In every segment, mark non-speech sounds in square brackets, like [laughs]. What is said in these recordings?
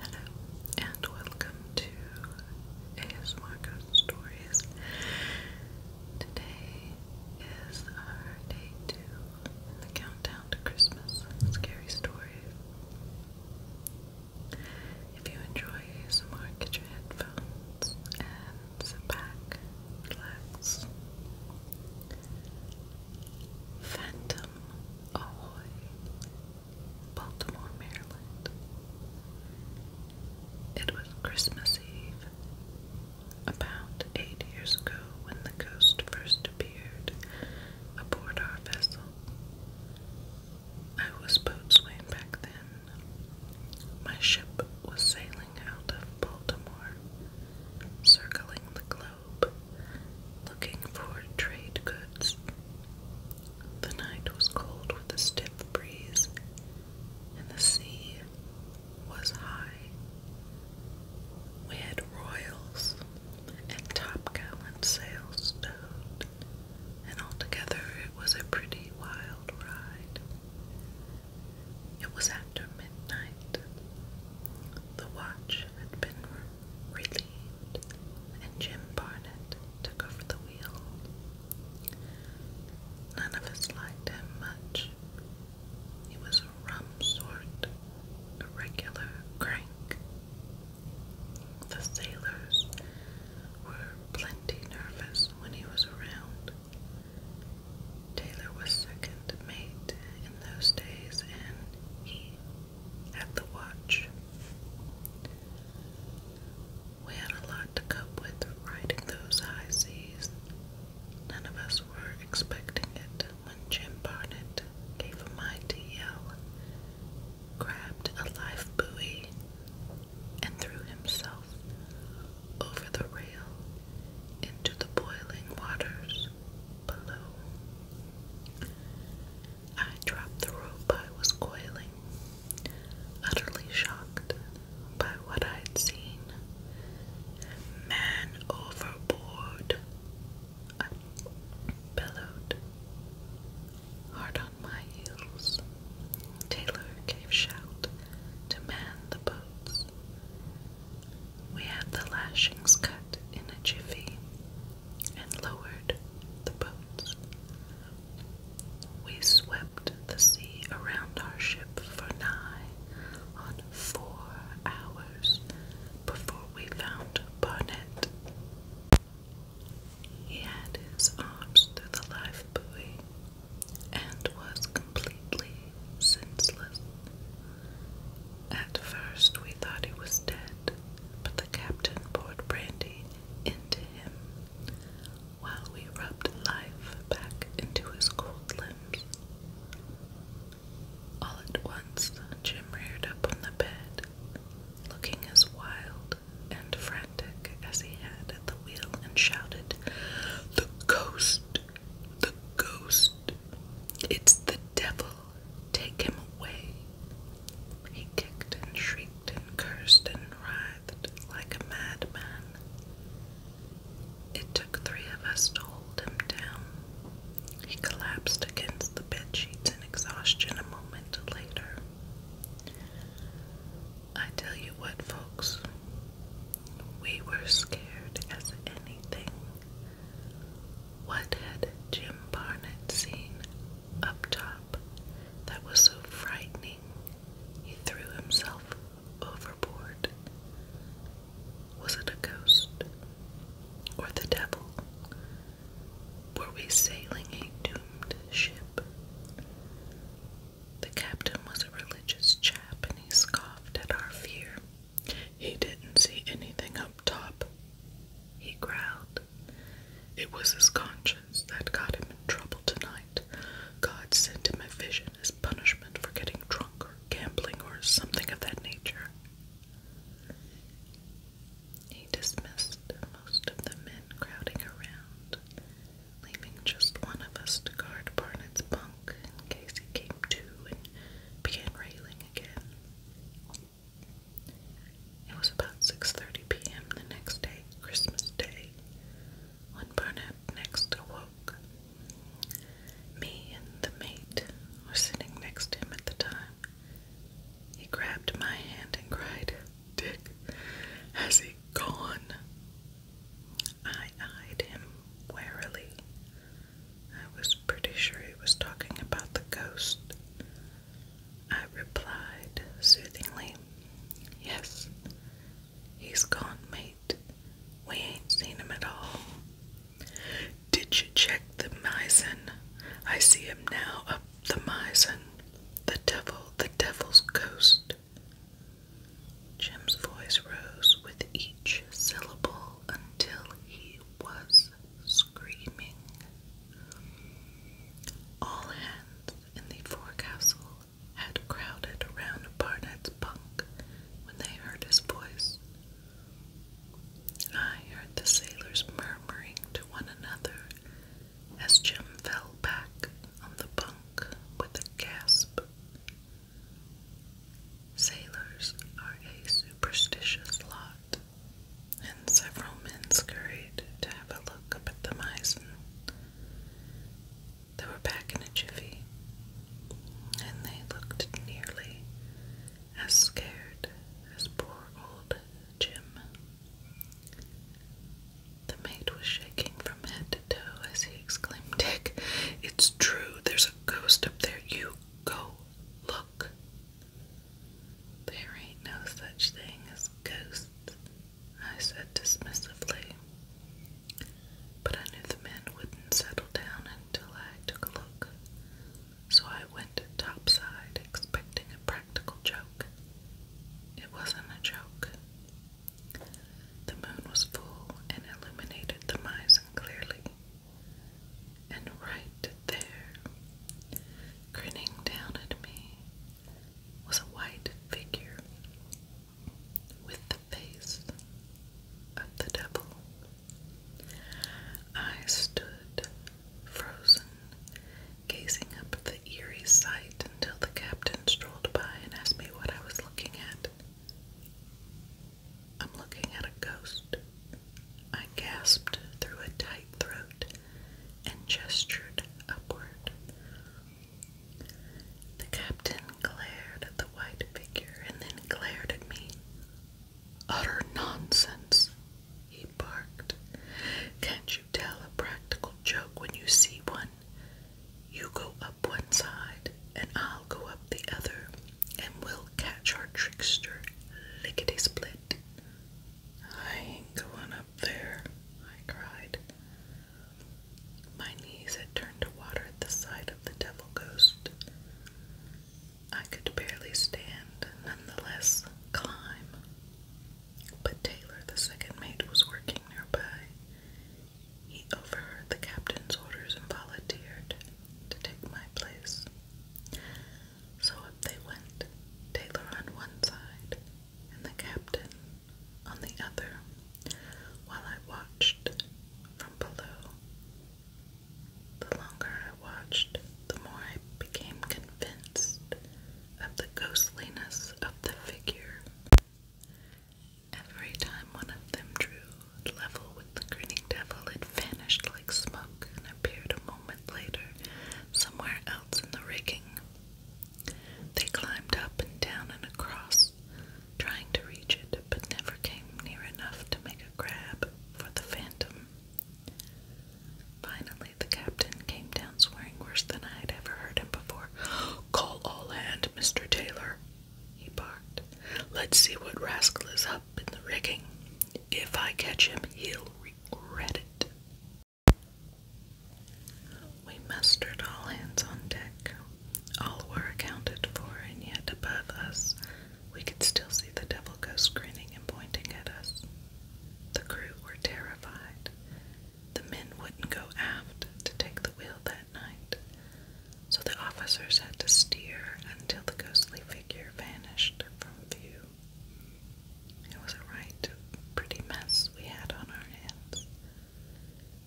Hello and welcome to ASMR Ghost Stories. Today is our day two in the countdown to Christmas scary stories. If you enjoy ASMR, get your headphones and sit back, relax. Phantom Ahoy, Baltimore, Maryland. It was Christmas Eve, about eight years ago, when the ghost first appeared aboard our vessel. I was boatswain back then. My ship was sailing out of Baltimore, circling the globe looking for trade goods. The night was cold with a stiff breeze, and the sea was high. We had royals and top gallant sails stowed, and altogether it was a pretty wild ride. It was after midnight. The watch had been relieved, and Jim Barnett took over the wheel. None of us liked him much. He was a rum sort, a regular crank. The sailors were plenty nervous when he was around. Taylor was second mate in those days, and he had the watch. We had a lot to cope with riding those high seas. None of us were expecting it when Jim Barnett gave a mighty yell, grabbed a life buoy, and threw himself over the rail into the boiling waters below. I dropped the rope I was coiling, utterly shocked by what I had seen. Man overboard, I bellowed. Hard on my heels, Taylor gave shout to man the boats. We had the lashings cut in a jiffy and lowered the boats. We swept the sea around our ship for nigh on four hours before we found Barnett. He had his arms through the life buoy and was completely senseless. At first, we thought he was dead, but the captain poured brandy into him while we rubbed life back into his cold limbs. All at once, Jim reared up on the bed, looking as wild and frantic as he had at the wheel, and shouted, The ghost! The ghost! It's the devil. Take him away. He kicked and shrieked and cursed and writhed like a madman. It took three of us to hold him down. He collapsed against the bed sheets in exhaustion a moment later. I tell you what, folks, we were scared as anything. What had Jim Barnett seen up top that was so frightening he threw himself overboard? Was it a ghost or the devil? Were we sailing a doomed ship? The captain was a religious chap and he scoffed at our fear. He didn't see anything up top, he growled. It was his conscience that got him in trouble tonight. God sent him a vision as punishment for getting drunk or gambling or something of that nature. He dismissed most of the men crowding around, leaving just one of us to guard Barnett's bunk in case he came to and began railing again. It was about 6.30 p.m. the next day, Christmas Day, when Barnett next awoke. Me and the mate were sitting next to him at the time. He grabbed my hand and cried, Dick, has he gone? I eyed him warily. I was pretty sure he was talking about the ghost. I replied soothingly, Yes, he's gone, mate. We ain't seen him at all. Did you check the mizzen? I see him now up the mizzen. The devil, the devil's ghost. Jim's voice rose with each syllable until he was screaming. All hands in the forecastle had crowded around Barnet's bunk when they heard his voice. I heard the sailors murmuring to one another as Jim fell back on the bunk with a gasp. Sailors are a superstitious lot, and several men scurried to have a look up at the mizzen. They were back in a jiffy, and they looked nearly as scared as poor old Jim. The mate was shaking from head to toe as he exclaimed, Dick, it's true, there's a ghost up there. You go look. There ain't no such thing as ghosts, I said dismissively. But I knew the men wouldn't settle down until I took a look, so I went topside expecting a practical joke. It wasn't a joke. The moon was full and illuminated the mizzen clearly. And right there, grinning down at me, was a white figure with the face of the devil. I stood frozen, gazing up at the eerie sight until the captain strolled by and asked me what I was looking at. I'm looking at a ghost. I gasped through a tight throat and gestured upward. The captain glared at the white figure and then glared at me. Utter nonsense, he barked. Can't you tell a practical joke when you see one? You go up one side, and I'll go up the other, and we'll catch our trickster lickety split. I ain't going up there, I cried. My knees had turned to water at the sight of the devil ghost. I could barely stand, nonetheless, climb. But Taylor, the second mate, was working nearby. He overheard the captain's orders and volunteered to take my place. So up they went, Taylor on one side and the captain on the other, while I watched from below. The longer I watched, the more I became convinced of the ghostliness of the figure. Every time one of them drew level with the grinning devil, it vanished like smoke and appeared a moment later somewhere else in the rigging. They climbed up and down and across, trying to reach it, but never came near enough to make a grab for the phantom. Finally, the captain came down swearing worse than I had ever heard him before. Call all hands, Mr. Taylor, he barked. Let's see what rascal is up in the rigging. If I catch him, he'll regret it. We mustered all hands on deck. All were accounted for, and yet above us we could still see the devil ghost grinning and pointing at us. The crew were terrified. The men wouldn't go aft to take the wheel that night, so the officers had to steer until the ghostly figure vanished from view. It was a right pretty mess we had on our hands.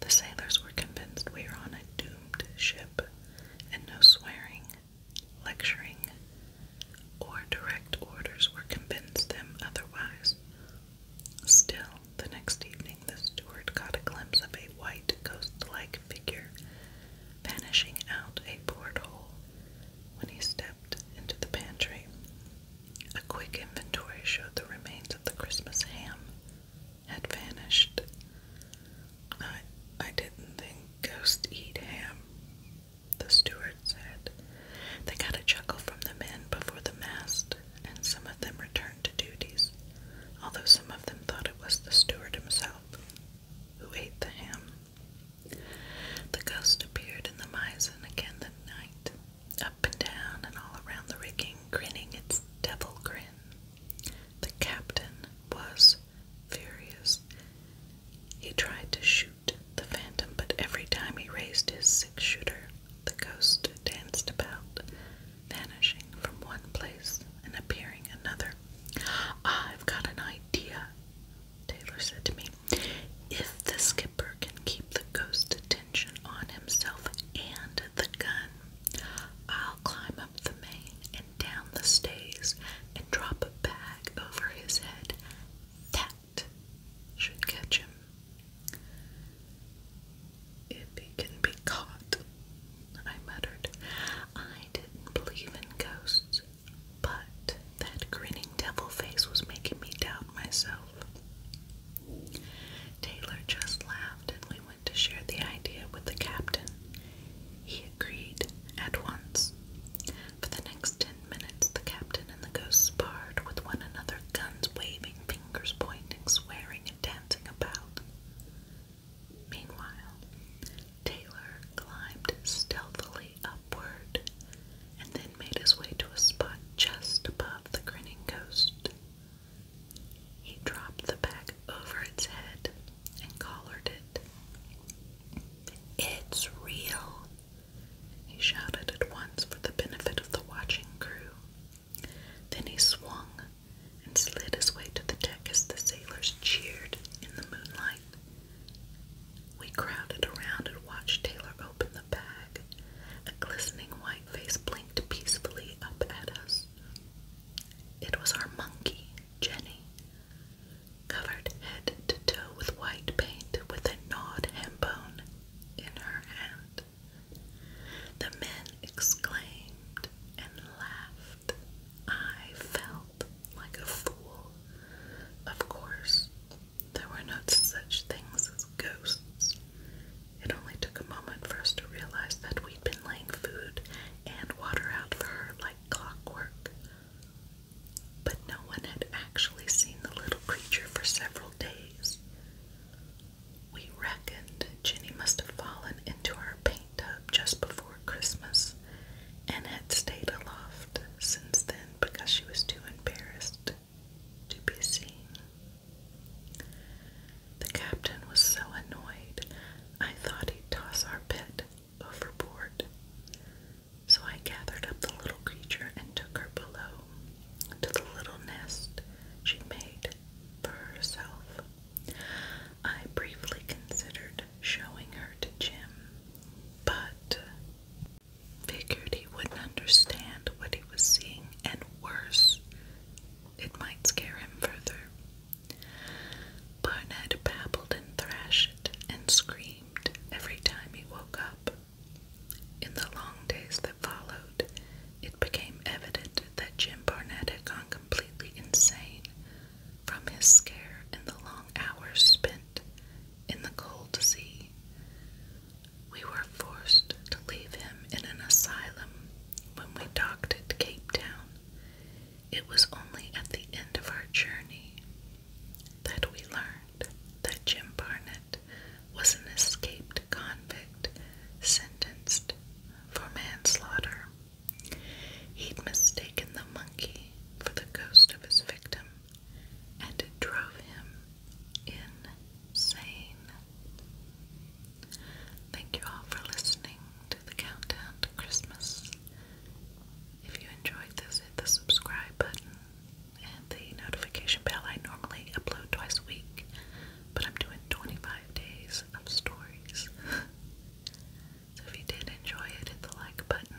The sailors were convinced we were on a doomed ship, and no swearing, lecturing, or direct orders were convinced them otherwise Still, the next evening, the steward caught a glimpse of a white, ghost like figure vanishing out a port hole. when he stepped into the pantry. A quick inventory showed the remains of the Christmas ham had vanished. I, I didn't think ghosts eat ham, the steward said, They got a chuckle from the men before the mast, and some of them returned to duties, although some of them thought it was the steward himself who ate the ham. The ghost appeared in the mizzen again that night, up and down and all around the rigging, grinning its devil grin. The captain was furious. He tried to shoot the phantom, but every time he raised his six shooter, the ghost danced about, vanishing from one place and appearing another. I've got an idea, Taylor said to me. If the skipper can keep the ghost attention on himself and the gun, I'll climb up the main and down the stays and drop a bag over his head. That should catch him. If he can be caught, I muttered. I didn't believe in ghosts, but that grinning devil face was making me doubt myself. Taylor just laughed and we went to share the idea with the captain. He agreed at once. For the next ten minutes, the captain and the ghost sparred with one another, guns waving, fingers pointing, swearing, and dancing about. Meanwhile, Taylor climbed stealthily upward and then made his way to a spot just above the grinning ghost. He dropped the bag over its head and collared it. It's real, he shouted at once for the benefit of the watching crew. Then he swung and slid his way to the deck as the sailors cheered in the moonlight. We crowded around and watched Taylor open the bag. A glistening white face blinked peacefully up at us. It was our monkey, Jenny covered head to toe with white paint with a gnawed ham bone in her hand. The men exclaimed and laughed. I felt like a fool. Of course, there were not such things as ghosts. It only took a moment for us to realize that we'd been laying food and water out for her like clockwork. But no one had actually seen the little creature for several days. We reckoned Jenny must have fallen into our paint tub just before Christmas and had stayed aloft since then because she was too embarrassed to be seen. The captain was so annoyed, I thought he'd toss our pet overboard. So I gathered up the little creature and took her below to the little nest she made for herself. I briefly considered showing her to Jim, but figured he wouldn't understand what he was seeing, and worse, it might scare him further. Barnett babbled and thrashed and screamed every time he woke up. In the long days that followed, it became evident that Jim Barnett had gone completely insane from his scare and the long hours spent in the cold sea. We were forced to leave him in an asylum when we docked at Cape Town. It was only at the end of our journey that we learned that Jim Barnett was an escaped convict sentenced for manslaughter. He'd mistaken the monkey for the ghost of his victim, and it drove him insane. Thank you all for listening to the Countdown to Christmas. If you enjoyed this, hit the subscribe button and the notification bell. I normally upload twice a week, but I'm doing 25 days of stories. [laughs] so if you did enjoy it, hit the like button.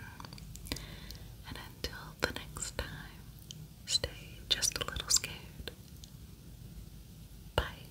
And until the next time, stay just a little scared. Bye.